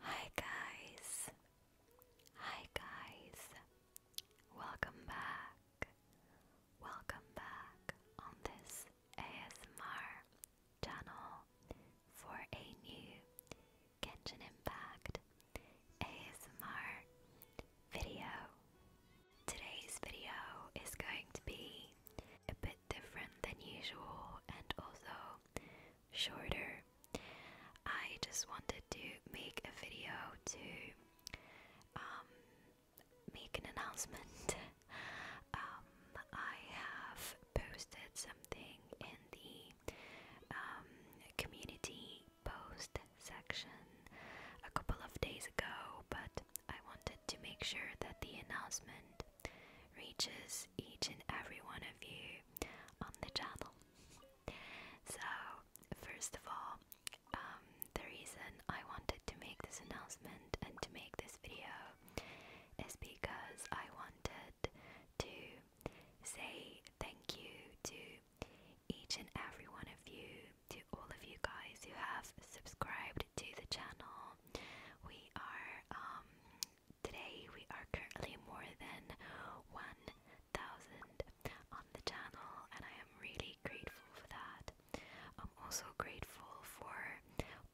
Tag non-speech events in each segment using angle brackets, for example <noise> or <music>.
Hi guys. Hi guys. Welcome back. Welcome back on this ASMR channel for a new Genshin Impact ASMR video. Today's video is going to be a bit different than usual and also shorter. I just wanted to make a video to um, make an announcement. <laughs> Um, I have posted something in the um, community post section a couple of days ago, but I wanted to make sure that the announcement reaches each and every one of you on the channel. So, first of all, um, the reason I wanted to make this announcement and to make this video is because I wanted to say thank you to each and every one of you, to all of you guys who have subscribed to the channel. We are um, Today we are currently more than 1,000 on the channel and I am really grateful for that. I'm also grateful for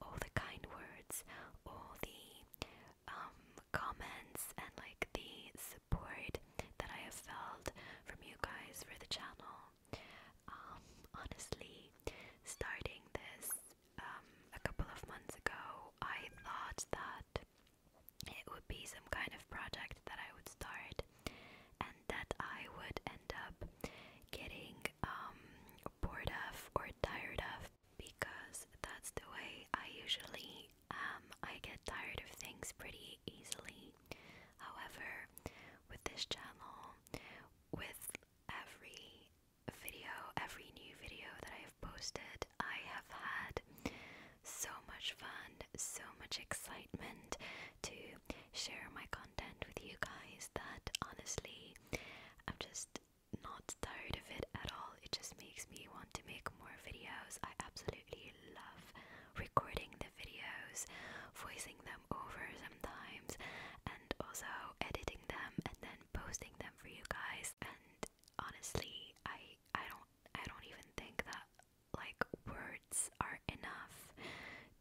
all the kind words, all the um, comments and like the support that I have felt from you guys for the channel. Um, honestly, starting this um, a couple of months ago, I thought that it would be some kind of project that I would start and that I would end up getting um, bored of or tired of because that's the way I usually I get tired of things pretty easily. However, with this channel, with every video, every new video that I've posted, I have had so much fun, so much excitement to share my content with you guys that honestly, I'm just not tired of it at all. It just makes me want to make more videos. I absolutely love recording the videos, voicing them over sometimes, and also editing them and then posting them for you guys. And honestly, I I don't I don't even think that like words are enough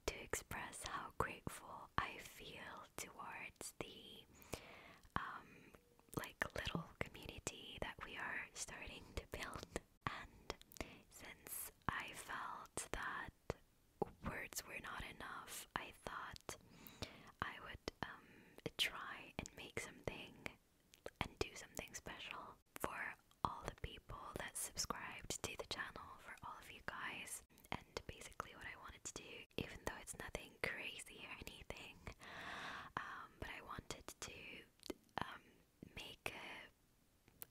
to express how grateful I feel towards the um like little community that we are starting to build and since I felt that words were not enough I thought I would um, try and make something and do something special for all the people that subscribe to the channel, for all of you guys. And basically, what I wanted to do, even though it's nothing crazy or anything, um, but I wanted to um, make a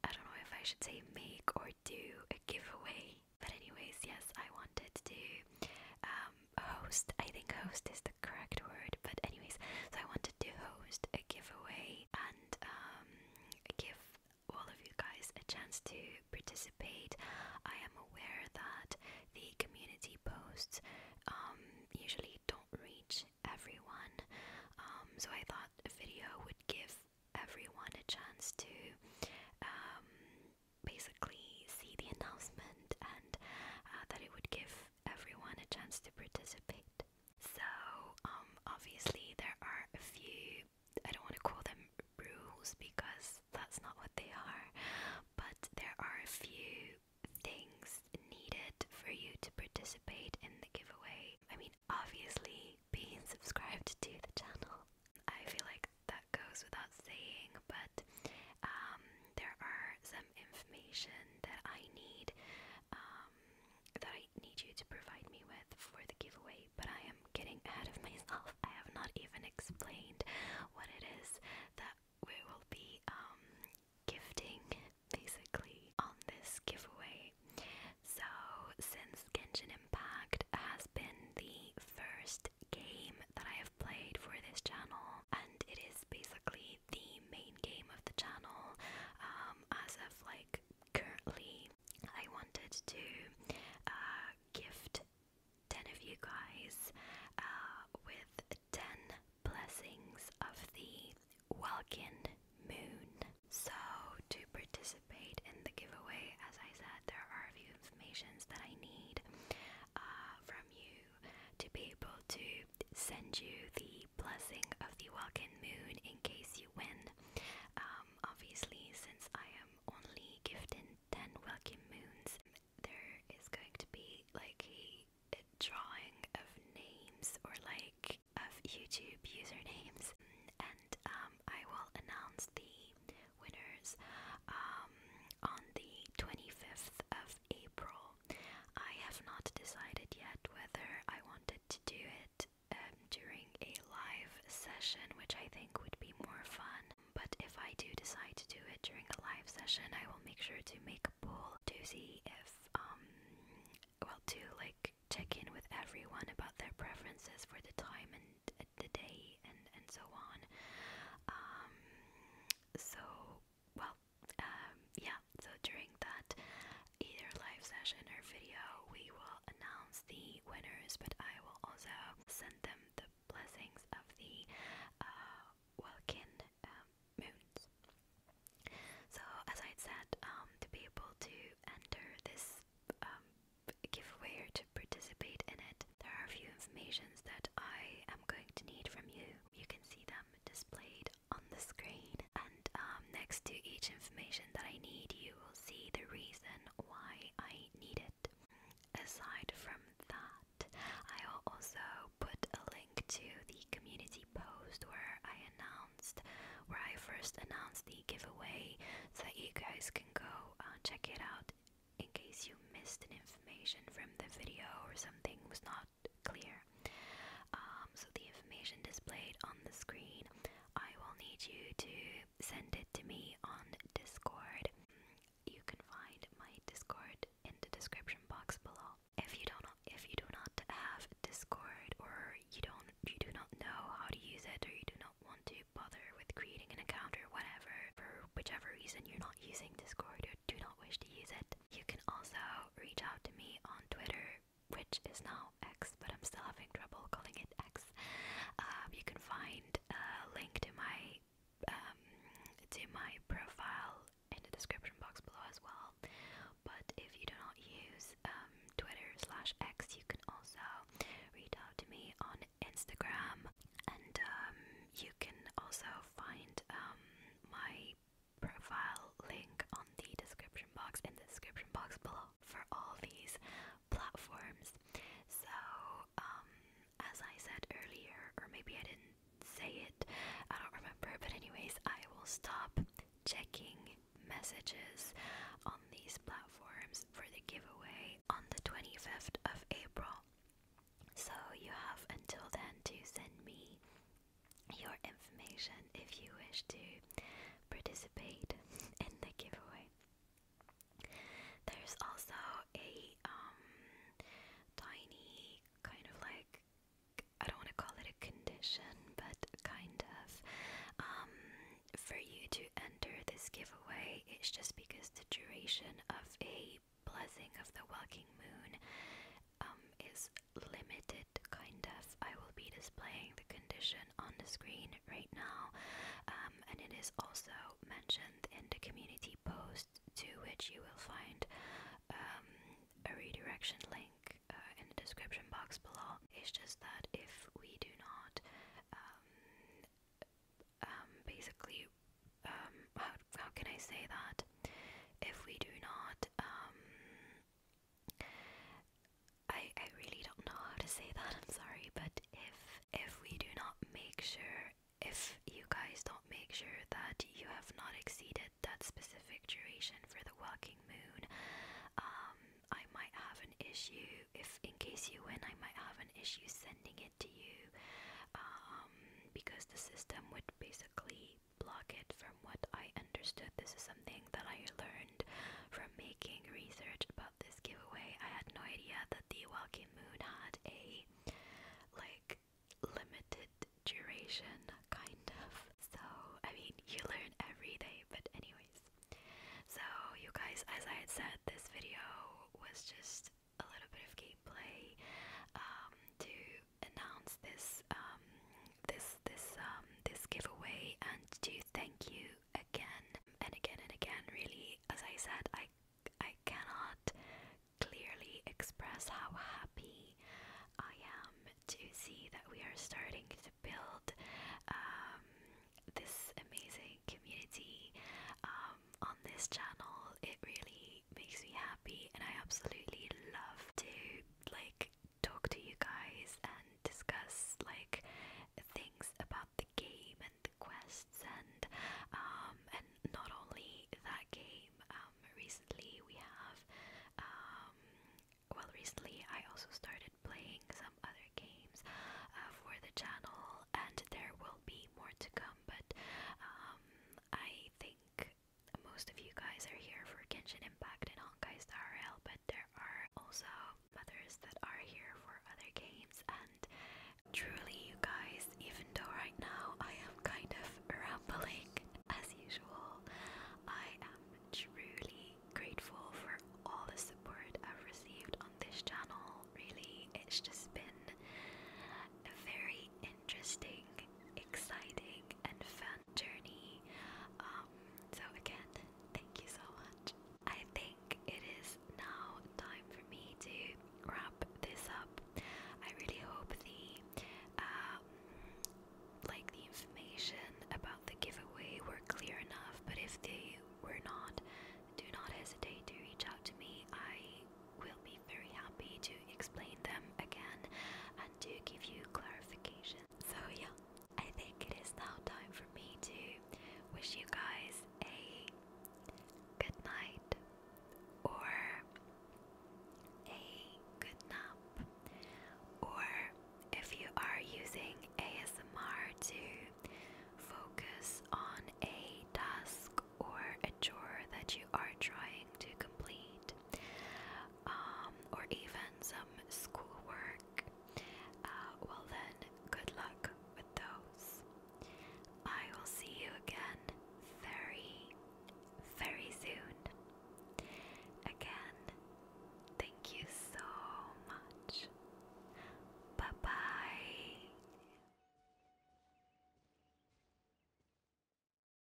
I don't know if I should say make or do a giveaway. But anyways, yes, I wanted to um, host. I think host is the correct word, but anyways, so I wanted to host a giveaway and um, give all of you guys a chance to participate. I am aware that the community posts um, usually don't reach everyone, um, so I thought a video would give everyone a chance to basically see the announcement and uh, that it would give everyone a chance to participate. So, um, obviously, there are a few, I don't want to call them rules because that's not what they are, but there are a few things needed for you to participate in the giveaway. I mean, obviously, being subscribed to the channel. I feel like that goes without saying, but um, there are some information that I need um, that I need you to provide me with for the giveaway, but I am getting ahead of <laughs> myself. I have not even explained what it is that we will be um, gifting basically on this giveaway. So, since Genshin Impact has been the first game that I have played for this channel, and it is basically the main game of the channel. Um, as of like currently, I wanted to uh, gift 10 of you guys uh, with 10 blessings of the Welkin Moon. So, to participate in the giveaway, as I said, there are a few informations that I need. Uh, from you to be able to send you the blessing of the welcome Moon in case you win. Um, obviously, since I am only gifted 10 welcome Moons, there is going to be like a, drawing of names or like of YouTube usernames, and um, I will announce the winners um, on the 25th of April. I have not decided yet whether I wanted to do it um, during a live session, which I think would be more fun. But if I do decide to do it during a live session, I will make sure to make a poll to see if, um, well, to like check in with everyone about their preferences for the time and uh, the day and, and so on. Um, so well, um, yeah, so during that either live session or video, we will announce the winners, but I will also send them the blessings of the uh, Welkin um, moons. So, as I said, um, to be able to enter this um, giveaway or to participate in it, there are a few informations that I am going to need from you. You can see them displayed on the screen, and um, next to each information that I need, you will see the reason why I need it. Aside from that, I will also put a link to the community post where I announced, where I first announced the giveaway, so that you guys can go uh, check it out in case you missed an information from the video or something was not clear. Um, so the information displayed on the screen, I will need you to send it to me on Discord. You can find my Discord in the description box below. If you don't, if you do not have Discord, or you don't, you do not know how to use it, or you do not want to bother with creating an account or whatever, for whichever reason you're not using Discord or do not wish to use it, you can also reach out to me on Twitter, which is now X, but I'm still having trouble calling it X. Um, you can find a link to my um, to my profile in the description box below as well. But if you do not use um, Twitter slash X, you can also reach out to me on Instagram, and you can also find my profile link on the description box in the description box below for all these platforms. So, um, as I said earlier, or maybe I didn't say it, I don't remember, but anyways, I will stop checking messages on these platforms for the giveaway on the 25th of April. So you have until then to send me your information if you wish to participate in the giveaway. There's also a um, tiny kind of like I don't want to call it a condition, but kind of um, for you to enter this giveaway. It's just because the duration of a blessing of the walking moon um, is limited, kind of. I will be displaying the condition on the screen right now, um, and it is also mentioned in the community post to which you will find um, a redirection link uh, in the description box below. It's just that if we do not um, um basically um, how how can I say that? If we do not, um, I I really don't know how to say <laughs> that. I'm sorry, but if if we do not make sure, if you guys don't make sure that you have not exceeded that specific duration for the walking moon, um, I might have an issue. If in case you win, I might have an issue sending it to you, um, because the system would basically block it. From what I understood, this is something that I learned from making research about this giveaway. I had no idea that the Walking Moon had a like limited duration, kind of. So, I mean, you learn every day, but, anyways. So, you guys, as I had said, this video was just a little bit of gameplay um, to announce this um, this this um, this giveaway and to thank you again and again and again. Really, as I said, I I cannot clearly express how happy I am to see that we are starting to build um, this amazing community on this channel. It really makes me happy and I absolutely love to like talk to you guys and discuss like things about the game and the quests and um and not only that game um recently we have um well recently I also started playing some other games uh, for the channel and there will be more to come but um I think most of you guys are here for Kenshin Impact and Honkai Star Rail, but there are also others that are here for other games. And truly, you guys, even though right now I am kind of rambling as usual, I am truly grateful for all the support I've received on this channel. Really, it's just been a very interesting, exciting, and fun journey. Um, so, again, thank you so much. I think it is now time for me to wrap this up. I really hope the um, like the information about the giveaway were clear enough, but if they were not, do not hesitate to reach out to me. I will be very happy to explain them again and to give you clarification. So, yeah, I think it is now time for me to wish you guys a good night or a good nap, or if you are using ASMR to focus on a task or a chore that you are trying to complete. Um, or even some schoolwork, uh, well then, good luck with those. I will see you again very, very soon. Again, thank you so much. Bye bye.